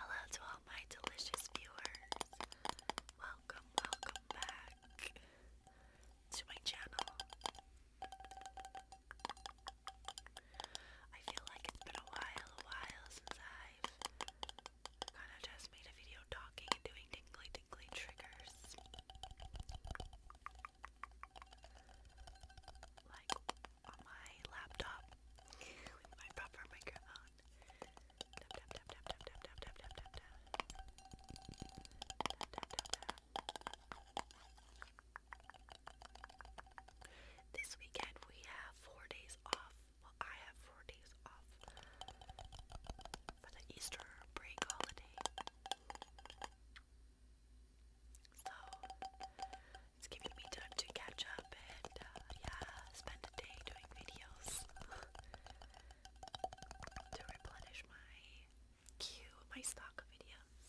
Hello to all my delicious viewers. Welcome, welcome back to my channel. I feel like it's been a while, a while since I've kind of just made a video talking and doing tingly, tingly triggers. Like on my laptop with my proper microphone. This weekend we have four days off. Well, I have four days off for the Easter break holiday. So it's giving me time to catch up and uh, yeah, spend a day doing videos to replenish my queue, my stock of videos.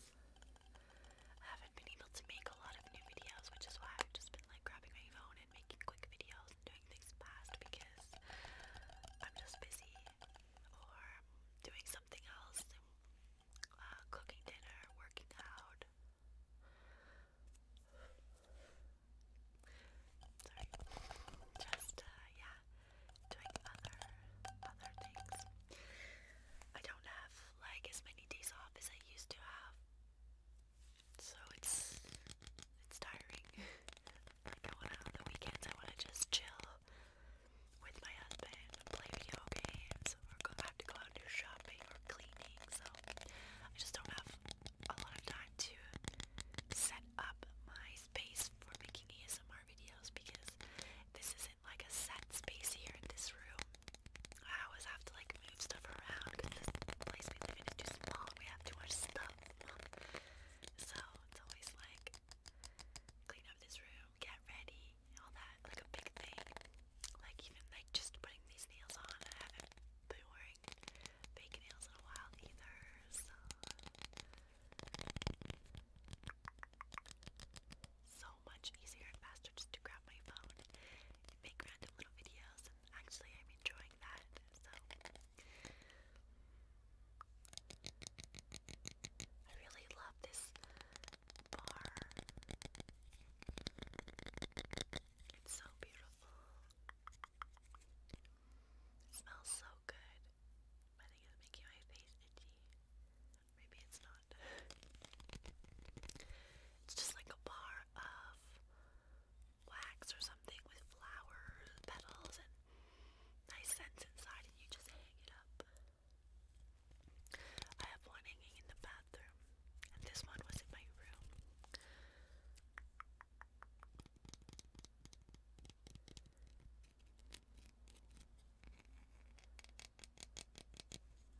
I haven't been able to make a lot of new videos, which is why I've just been like grabbing my phone and making quick videos and doing things fast because I'm just busy or doing something else, uh, cooking dinner, working out. Sorry. Just uh, yeah, doing other other things. I don't have like as many days off as I used to have, so it's it's tiring. I wanna on the weekends. I wanna just chill with my husband, play video games, or go, I have to go out and do shopping or cleaning. So I just don't have a lot of time to set up my space for making ASMR videos because this isn't like a set space here in this room. I always have to like move stuff around because this place we live in is too small we have too much stuff. So it's always like clean up this room, get ready, all that, like a big thing. Like even like just putting these nails on, I have wearing fake nails in a while either, so much easier and faster just to grab my phone make random little videos and actually I'm enjoying that so I really love this bar. It's so beautiful smells so good. I it's making my face itchy. Maybe it's not. it's just like a bar of wax or something with flowers, petals, and nice scents inside, and you just hang it up. I have one hanging in the bathroom this one was in my room.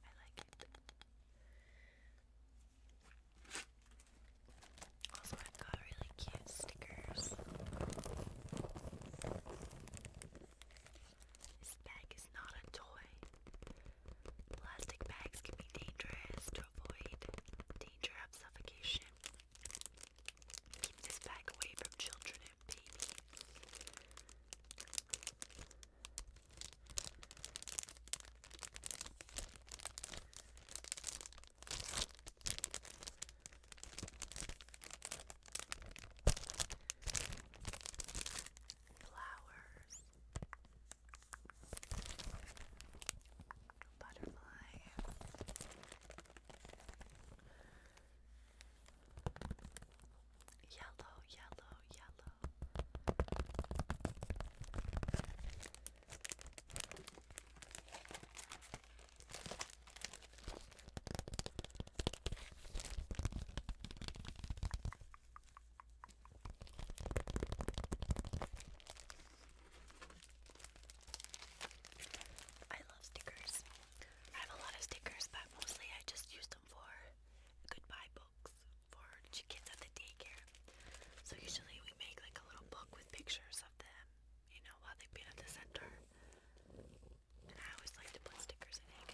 I like it. Also, i got really cute stickers. This bag is not a toy. Plastic bags can be dangerous to avoid danger of suffocation. Keep this bag away from children and babies. Flowers. Butterfly. Yellow, yellow, yellow. I love stickers. I have a lot of stickers, but mostly I just use them for goodbye books for kids at the daycare. So usually we make like a little book with pictures of them, you know, while they've been at the center. And I always like to put stickers in it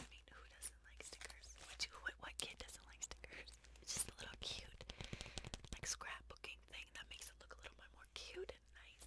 I mean, who does like stickers? Which, what, what kid doesn't like stickers? It's just a little cute, like scrapbooking thing that makes it look a little bit more cute and nice.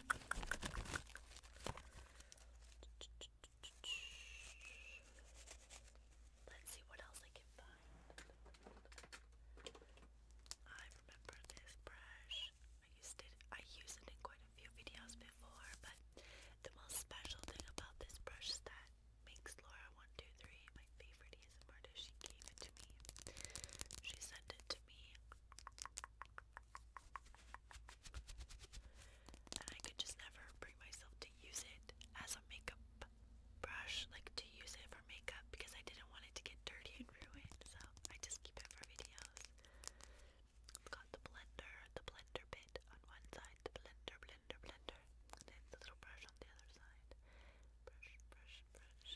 Let's see what else I can find. I remember this brush. I used it. I used it in quite a few videos before, but the most special thing about this brush is that makes Laura one two three my favorite ASMR artist. She gave it to me. She sent it to me. And I could just never bring myself to use it as a makeup brush, like to use it for makeup because I didn't want it to get dirty and ruined. So I just keep it for videos. I've got the blender, the blender bit on one side, the blender, blender, blender, and then the little brush on the other side. Brush, brush, brush.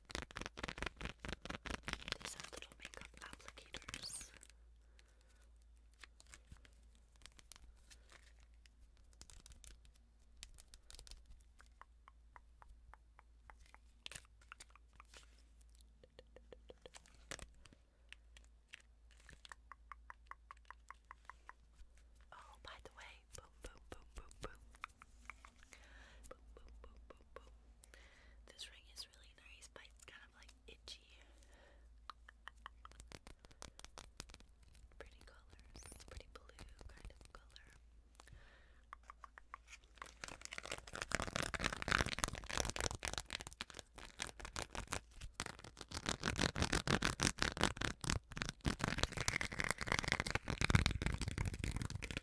These are little makeup applicators. Oh, by the way, boom, boom, boom, boom, boom. This ring is really nice, but it's kind of like itchy. Pretty colors. pretty blue kind of color.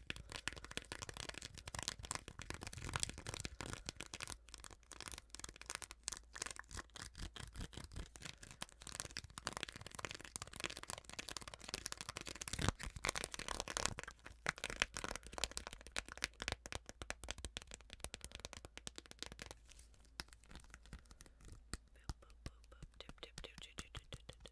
Boop, boop, boop, boop. Dip, dip, dip, dip, dip, dip, dip, dip.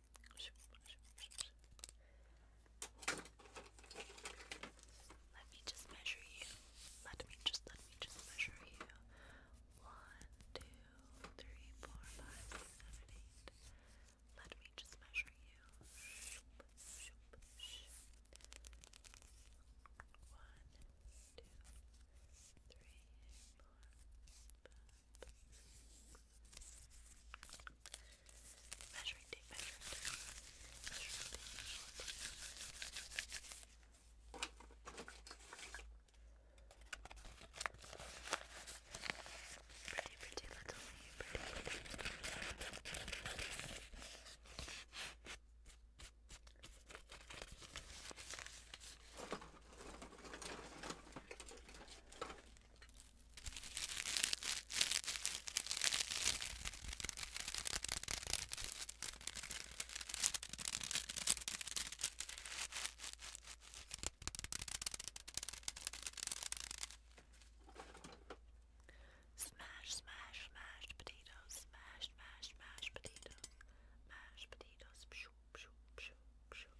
Let me just measure you. Let me just let me just measure you. One, two, three, four, five, six, seven, eight. Let me just measure you. One, two, three, four, five, Measuring tape, measuring tape. Measuring tape, measuring tape. Pretty, pretty little leaf, pretty, pretty. Smash, smash, smash potatoes. Smash, smash, smash potatoes. Mash potatoes. Pshoo, pshoo, pshoo, pshoo.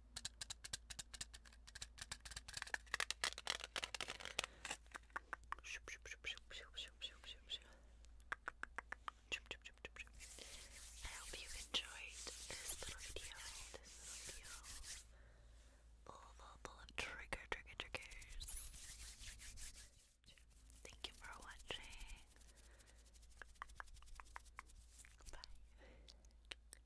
I hope you enjoyed this little video. This little video. Full, full, full of trigger, trigger, triggers. Thank you for watching. Bye.